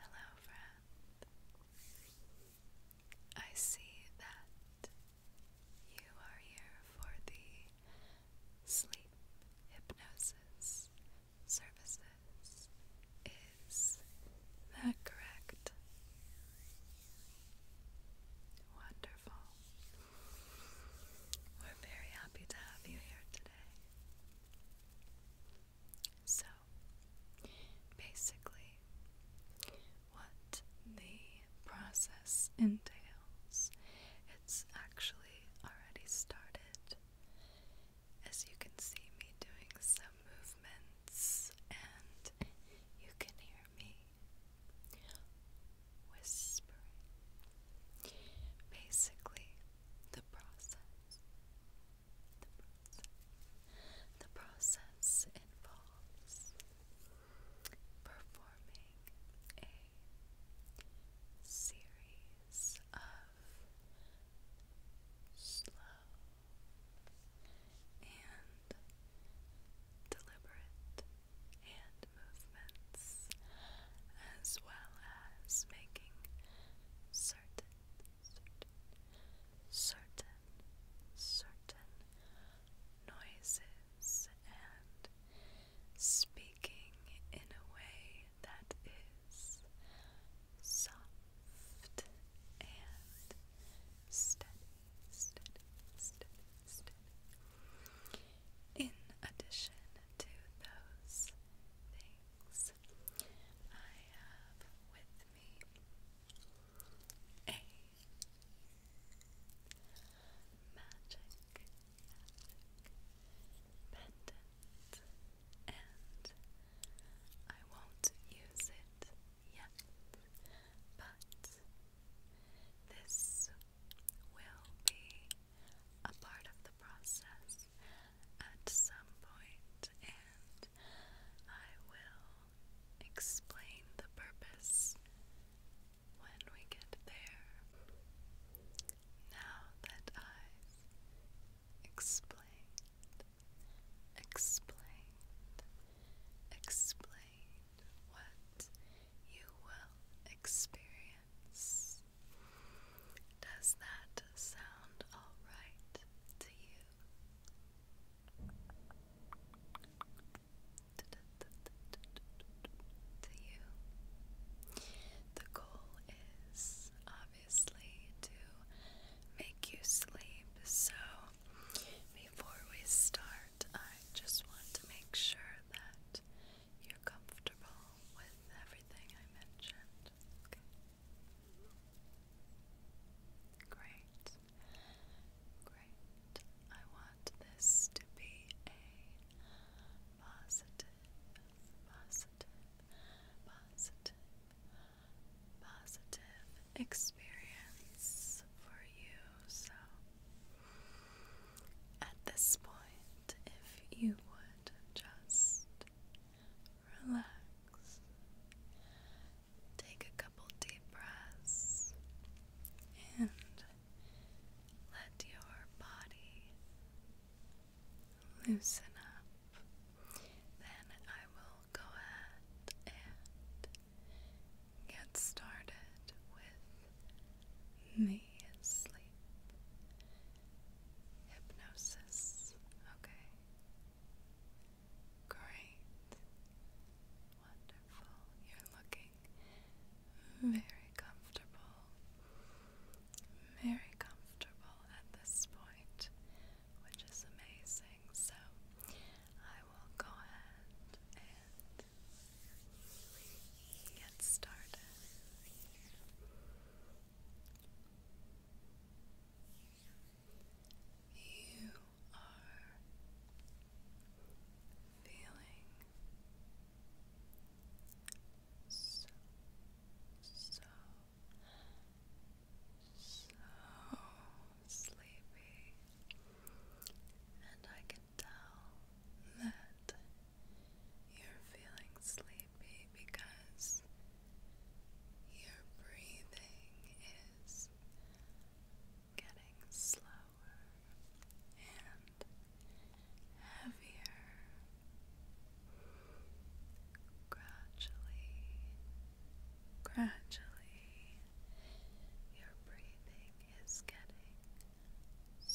Hello, friend. I see that you are here for the sleep hypnosis services. Is that correct? Wonderful. We're very happy to have you here today. So, basically, what the process entails, it's actually already started. As you can see me doing some movements, and you can hear me whispering. Basically, the process. The process. involves performing a series of slow and deliberate hand movements as well as making certain, certain, certain, noises and speaking in a way that is soft and steady. In addition to those things, things. I have with me a magic pendant, and I won't use it yet, but this will be a part of the process at some point, and I will explain the purpose when we get there. Now that I've explained, explained, what you will experience does that sound alright to you? To you? The goal is obviously to make you sleep, so before we start, I just want to make sure that you're comfortable with everything I mentioned. Okay. Great. Great. I want this to be a positive, positive, positive, positive experience for you. So at this point, if you would just relax, take a couple deep breaths, and let your body loosen up, then I will go ahead and get started with me asleep. Hypnosis. Okay. Great. Wonderful. You're looking very comfortable. Very comfortable at this point, which is amazing. So I will go ahead and get started. You are feeling so, so, so sleepy, and I can tell that you're feeling sleepy because your breathing is getting slower and heavier. Gradually, gradually, your breathing is getting.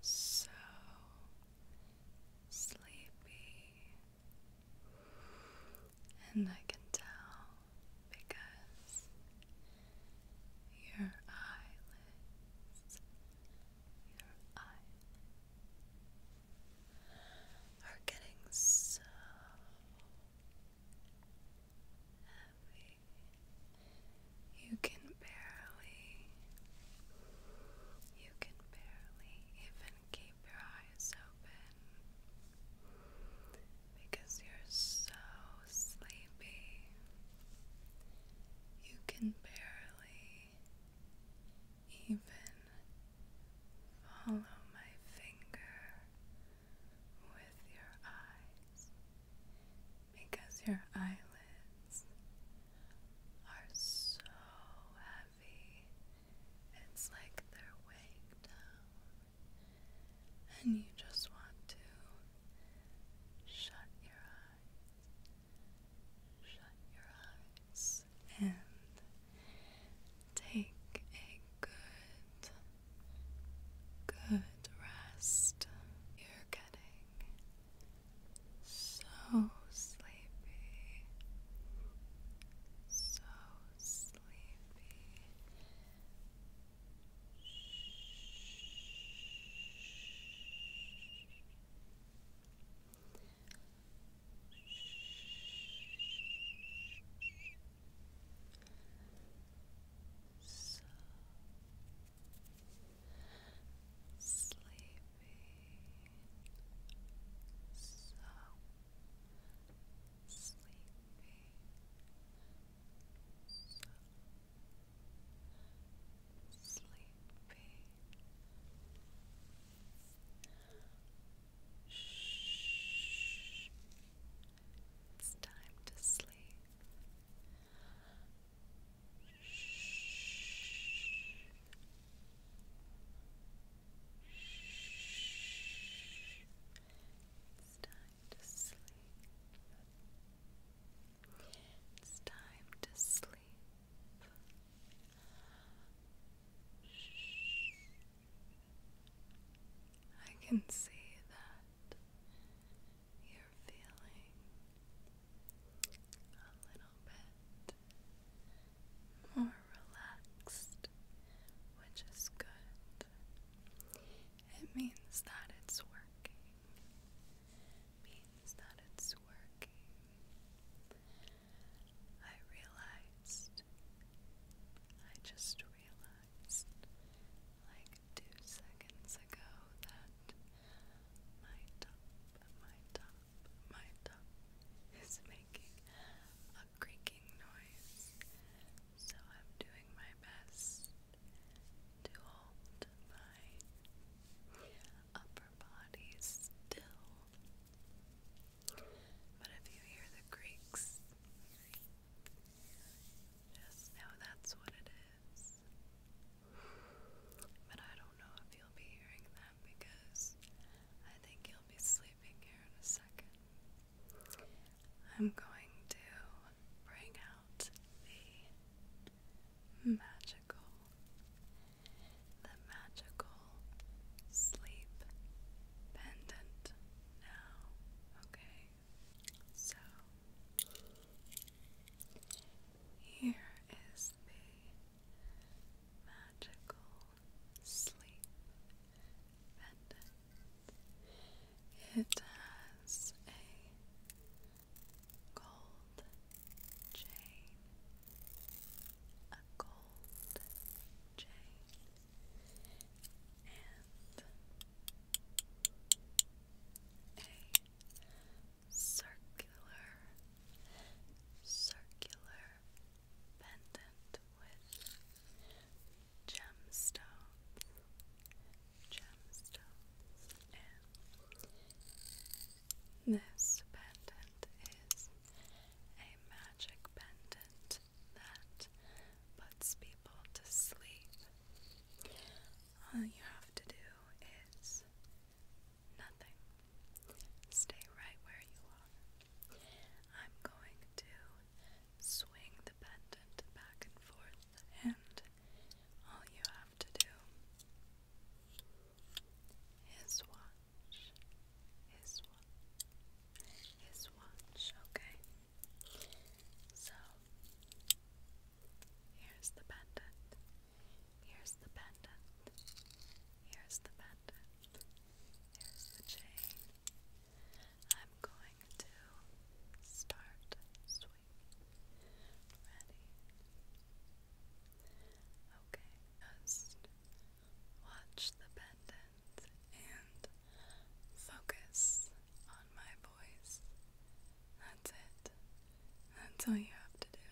so sleepy, and I can tell because your eyelids, your eyelids are getting so heavy. You can barely, you can barely even keep your eyes open because you're so sleepy. You can barely even follow my finger with your eyes because your eyelids are so heavy, it's like they're weighing down, and you just want to shut your eyes, shut your eyes, and take a good good rest. You're getting so sleepy, so sleepy. So sleeping so sleepy so sleepy Shh. It's time to sleep. It's time to sleep. It's time to sleep. I can see that you're feeling a little bit more relaxed, which is good. It means that it's working. Means that it's working. I realized. I just realized realized like two seconds ago that my top, my top, my top is making a creaking noise. So I'm doing my best to hold my upper body still. But if you hear the creaks, just know that's what it is. But I don't know if you'll be hearing that because I think you'll be sleeping here in a second. I'm going to bring out the magical, the magical sleep pendant now, okay? So, here is the magical sleep pendant. It has a gold chain, a gold chain and a circular, circular pendant with gemstones, gemstones, this pendant is a magic pendant that puts people to sleep. All you have to do is nothing. Stay right where you are. I'm going to swing the pendant back and forth, and all you have to do is watch. His watch. His watch, okay? So, here's the pendant. Here's the pendant. Here's the pendant. Here's the chain. I'm going to start sweeping. Ready? Okay, just watch the pendant and focus on my voice. That's it. That's all you have to do.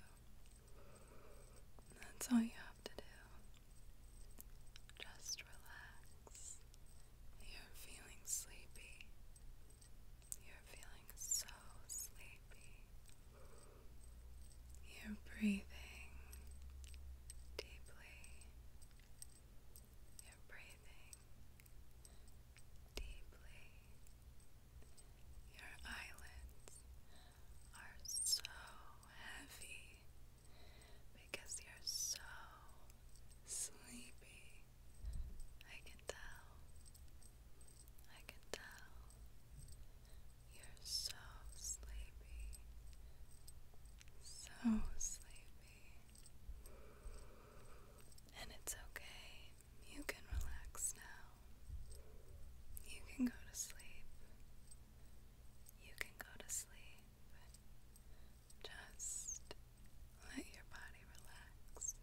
That's all you have to do. Just relax. You're feeling sleepy. You're feeling so sleepy. You're breathing deeply you're breathing deeply. Your eyelids are so heavy because you're so sleepy. I can tell. I can tell. You're so sleepy. So oh. sleepy. And it's okay. You can relax now. You can go to sleep. You can go to sleep. Just let your body relax.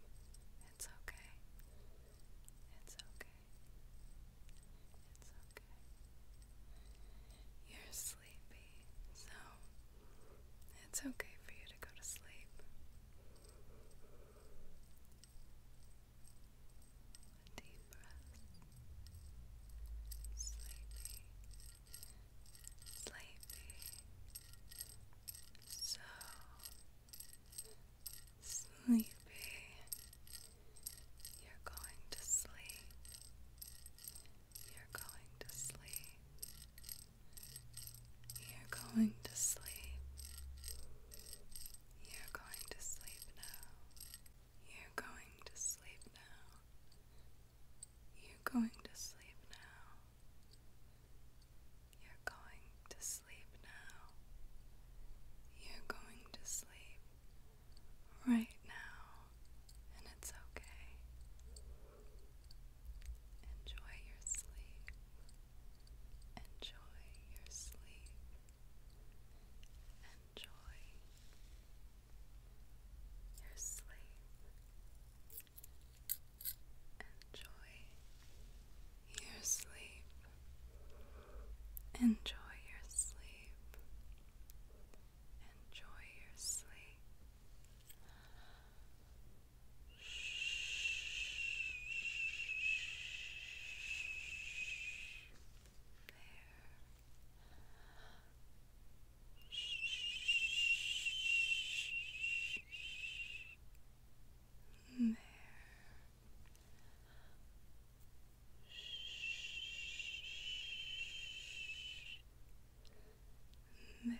It's okay. It's okay. It's okay. You're sleepy, so it's okay for you to go to sleep. Deep breath. Sleepy. Sleepy. So sleepy. You're going to sleep. You're going to sleep. You're going to sleep. You're going to sleep now. You're going to sleep now. You're going to sleep now. You're going to sleep now. You're going to sleep. Now right now, and it's okay. Enjoy your sleep. Enjoy your sleep. Enjoy your sleep. Enjoy your sleep. Enjoy your sleep. Enjoy your sleep. There. There. There. There.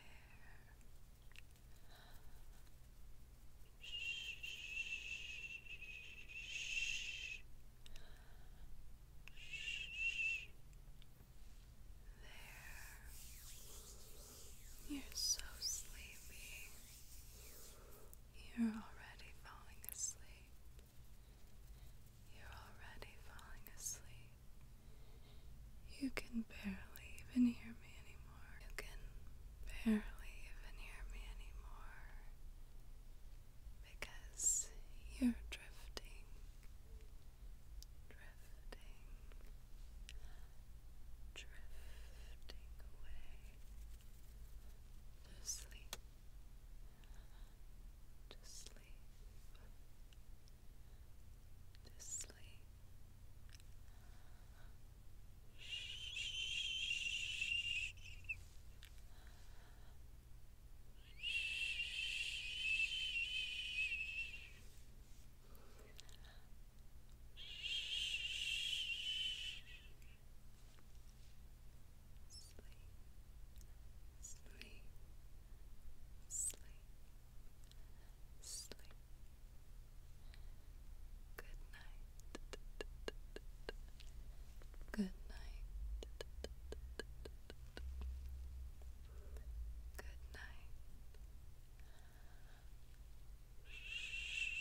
You're so sleepy. You're already falling asleep. You're already falling asleep. You can barely even hear me anymore. You can barely even hear me anymore because you're drifting, drifting, drifting away to sleep to sleep, to sleep sleep, sleep, sleep. Good night. Good night. Good night. Shh.